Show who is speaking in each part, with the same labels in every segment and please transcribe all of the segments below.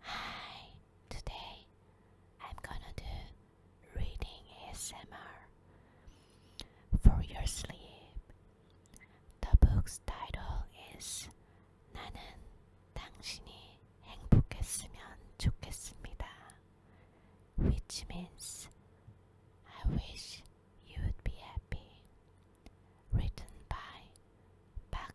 Speaker 1: Hi, today I'm gonna do reading ASMR for your sleep. The book's title is 나는 당신이 행복했으면 좋겠습니다, which means I wish you would be happy. Written by Park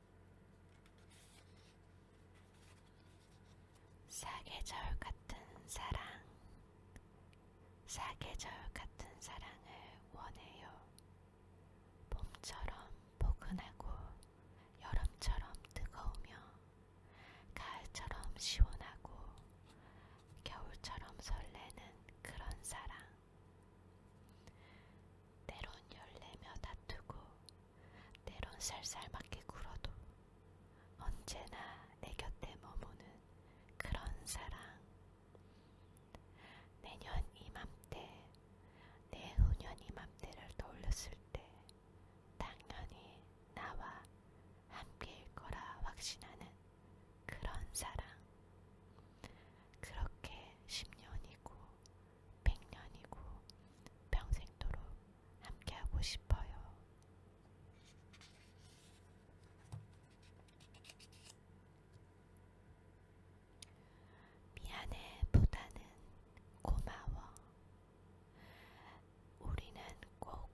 Speaker 1: 사계절 같은 사랑, 사계절 같은 사랑을 원해요. 봄처럼 포근하고, 여름처럼 뜨거우며, 가을처럼 시원하고, 겨울처럼 설레는 그런 사랑. 때론 열내며 다투고, 때론 쌀쌀맞게 굴어도 언제나 내 곁에 머무는 그런 사랑. 내년 이맘때, 내후년 이맘때를 떠올렸을 때 당연히 나와 함께일 거라 확신하는 그런 사랑. 그렇게 10년이고 백년이고 평생도록 함께하고 싶어요. 미안해 보다는 고마워. 우리는 꼭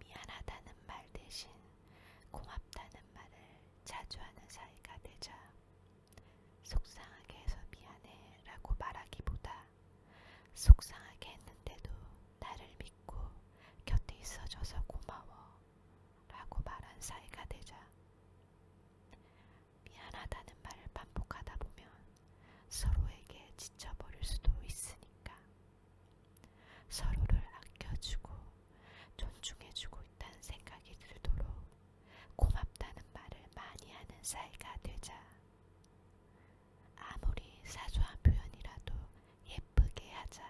Speaker 1: 미안하다는 말 대신 고맙다는 말을 자주 하는 사이가 되자. 속상하게 해서 미안해 라고 말하기보다 속상하게 했는데도 나를 믿고 곁에 있어줘서 고마워 라고 말한 사이가 되자 미안하다는 말을 반복하다 보면 서로에게 지쳐버릴 수도 있으니까 서로를 아껴주고 존중해주고 있다는 생각이 들도록 고맙다는 말을 많이 하는 사이가 되자 아무리 사소한 표현이라도 예쁘게 하자.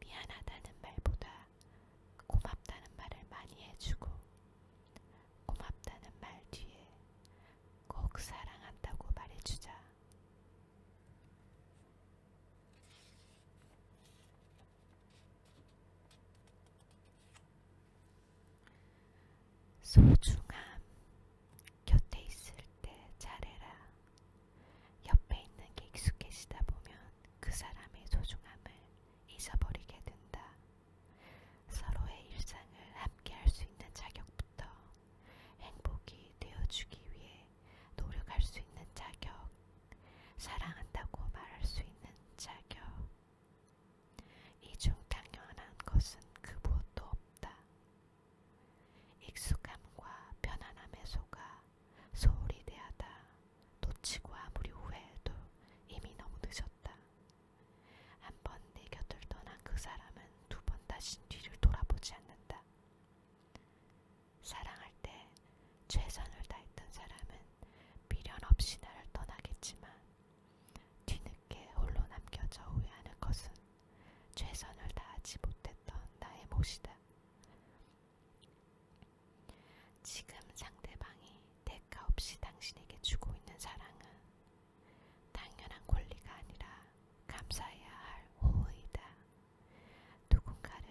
Speaker 1: 미안하다는 말보다 고맙다는 말을 많이 해주고, 고맙다는 말 뒤에 꼭 사랑한다고 말해주자. 소중함 곁에 있을 때 잘해라. 옆에 있는 게 익숙해지다 보면 그 사람의 소중함을 잊어버리게 된다. 서로의 일상을 함께 할 수 있는 자격부터 행복이 되어주기 위해 노력할 수 있는 자격, 사랑한다고 말할 수 있는 자격, 이중 당연한 것은 그 무엇도 없다. 익숙함과 편안함에 속아 소홀히 대하다 놓치고 아무리 후회해도 이미 너무 늦었다. 한 번 내 곁을 떠난 그 사람은 두 번 다시 뒤를 돌아보지 않는다. 사랑할 때 최선을 다했던 사람은 미련 없이 나를 떠나겠지만 뒤늦게 홀로 남겨져 후회하는 것은 최선을 다하지 못했던 나의 몫이다. 지금 상대방이 대가 없이 당신에게 주고 있는 사랑은 당연한 권리가 아니라 감사해야 할 호의이다. 누군가를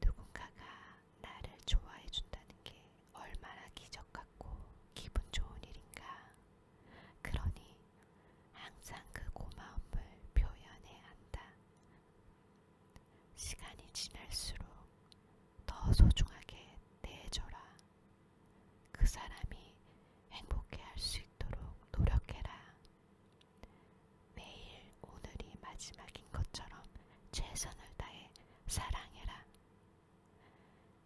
Speaker 1: 누군가가 나를 좋아해 준다는 게 얼마나 기적 같고 기분 좋은 일인가. 그러니 항상 그 고마움을 표현해야 한다. 시간이 지날수록 더 소중하게 대해줘라. 그 사람이 행복해할 수 있도록 노력해라. 매일 오늘이 마지막인 것처럼 최선을 다해 사랑해라.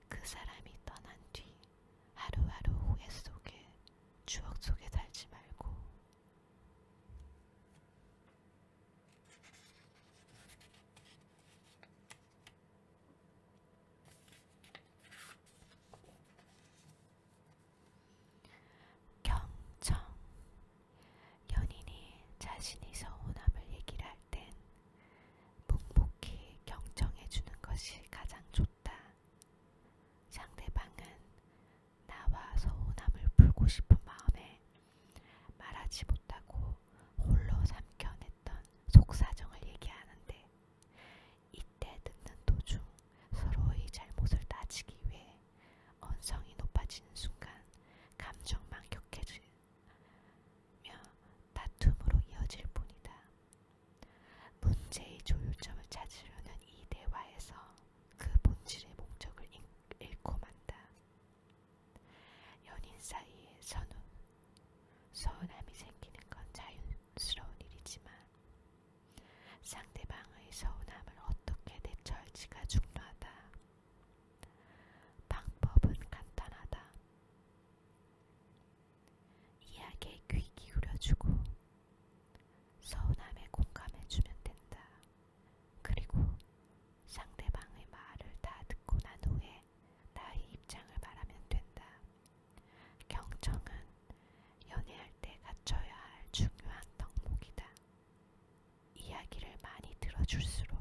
Speaker 1: 그 사람이 떠난 뒤 하루하루 후회 속에 추억 속에 살지 말고 경청 연인이 자신이 서운함을 얘기를 할 땐 묵묵히 경청해주는 것이 가장 좋다. 상대방은 나와 서운함을 풀고 싶은 마음에 말하지 못하고 홀로 삼켜냈던 속사정을 얘기하는데 이때 듣는 도중 서로의 잘못을 따지기 위해 언성이 높아지는 순간 감정만 격해지, 며 다툼으로 이어질 뿐이다. 문제의 조율점을 찾으려는 이 대화에서 그 본질의 목적을 잃고 만다. 연인 사이에 선우, 서운함이 생기는 건 자연스러운 일이지만 상대방의 서운함을 어떻게 대처할지가 중요하다. 방법은 간단하다. 이야기에 귀 기울여주고 서운함에 공감해주면 된다. 그리고 상대방의 말을 다 듣고 난 후에 나의 입장을 말하면 된다. 경청은 연애할 때 갖춰야 할 중요한 덕목이다. 이야기를 많이 들어줄수록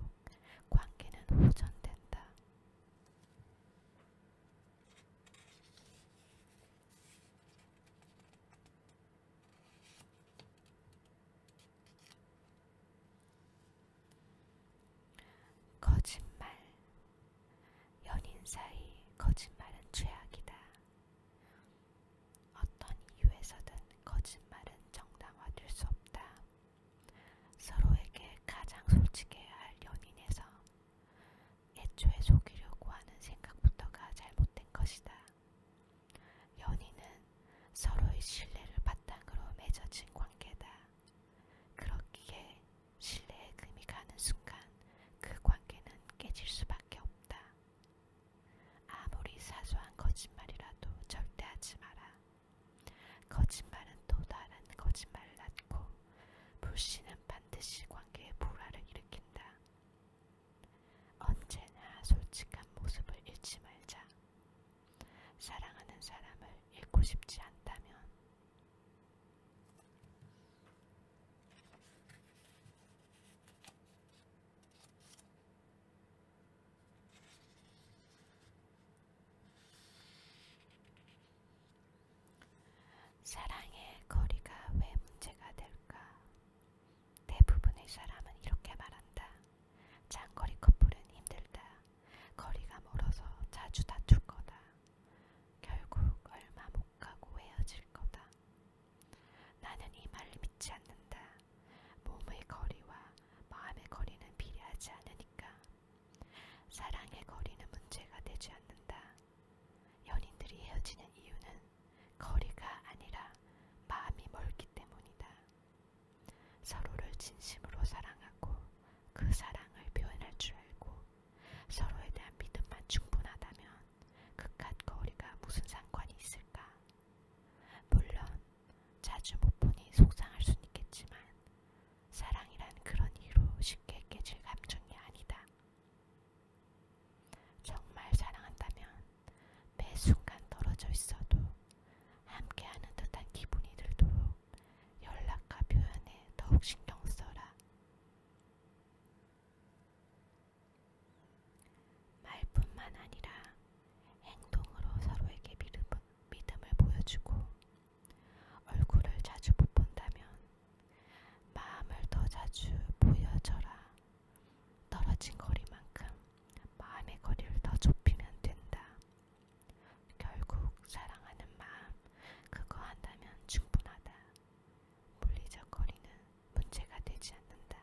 Speaker 1: 관계는 호전된다. 거짓말. 연인 사이 거짓말은 죄악이다. 어떤 이유에서든 거짓말은 정당화될 수 없다. 서로에게 가장 솔직해야 할 연인에서 애초에 속이려고 하는 생각부터가 잘못된 것이다. 연인은 서로의 신뢰를 바탕으로 맺어진 관계다. 그렇기에 신뢰에 금이 가는 순간 그 관계는 깨질 수밖에 없다. 아무리 사소한 거짓말이라도 절대 하지 마라. 거짓말은 또 다른 거짓말을 낳고 불씨는 반드시 관계의 불화를 일으킨다. 언제나 솔직한 모습을 잃지 말자. 사랑하는 사람을 잃고 싶지 않다면 사랑의 거리가 왜 문제가 될까? 대부분의 사람은 이렇게 말한다. 장거리 커플은 힘들다. 거리가 멀어서 자주 다툴 거다. 결국 얼마 못 가고 헤어질 거다. 나는 이 말을 믿지 않는다. 몸의 거리와 마음의 거리는 비례하지 않으니까 사랑의 거리는 문제가 되지 않는다. 연인들이 헤어지는 이유는 거리가 아니라 마음이 멀기 때문이다. 서로를 진심으로 사랑하고 그 사랑을 표현할 줄 알고 서로에 대한 믿음만 충분하다면 그깟 거리가 무슨 상관이 있을까? 물론 자주 못 보니 속상할 순 있겠지만 사랑이란 그런 이유로 쉽게 깨질 감정이 아니다. 정말 사랑한다면 매 순간 떨어져 있어도 함께하는 듯한 기분이 들도록 연락과 표현에 더욱 신경 써라. 말뿐만 아니라 행동으로 서로에게 믿음, 믿음을 보여주고 얼굴을 자주 못 본다면 마음을 더 자주 보여줘라. 떨어진 거리만큼 마음의 거리를 더 좁히면 된다. 결국 사랑하는 마음 그거 한다면 충분하다. 물리적 거리는 문제가 되지 않는다.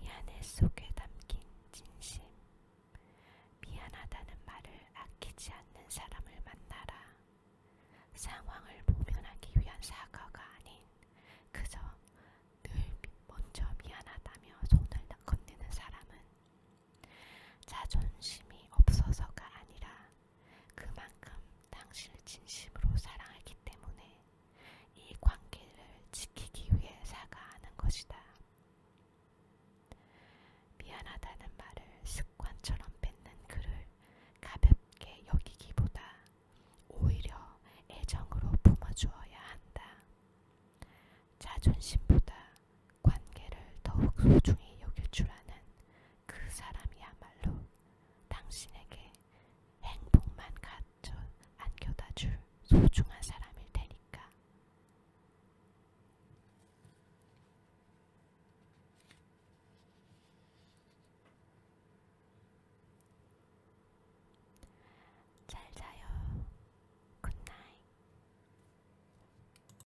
Speaker 1: 미안해 속에 담긴 진심. 미안하다는 말을 아끼지 않는 사람을 만나라. 상황을 보면하기 위한 사과가 아닌 그저 늘 먼저 미안하다며 손을 건네는 사람은 자존심이 없어서가 아니라 그만큼 당신을 진심으로 사랑하기 때문에 이 관계를 지키기 위해 사과하는 것이다. 미안하다는 말을 습관처럼 뱉는 그를 가볍게 여기기보다 오히려 애정으로 품어주어야 한다. 자존심보다 관계를 더욱 소중히 여길 줄 아는 그 사람이야말로 당신에게 행복만 갖춰 안겨다 줄 소중한 사람일 테니까. 잘 자요. 굿나잇.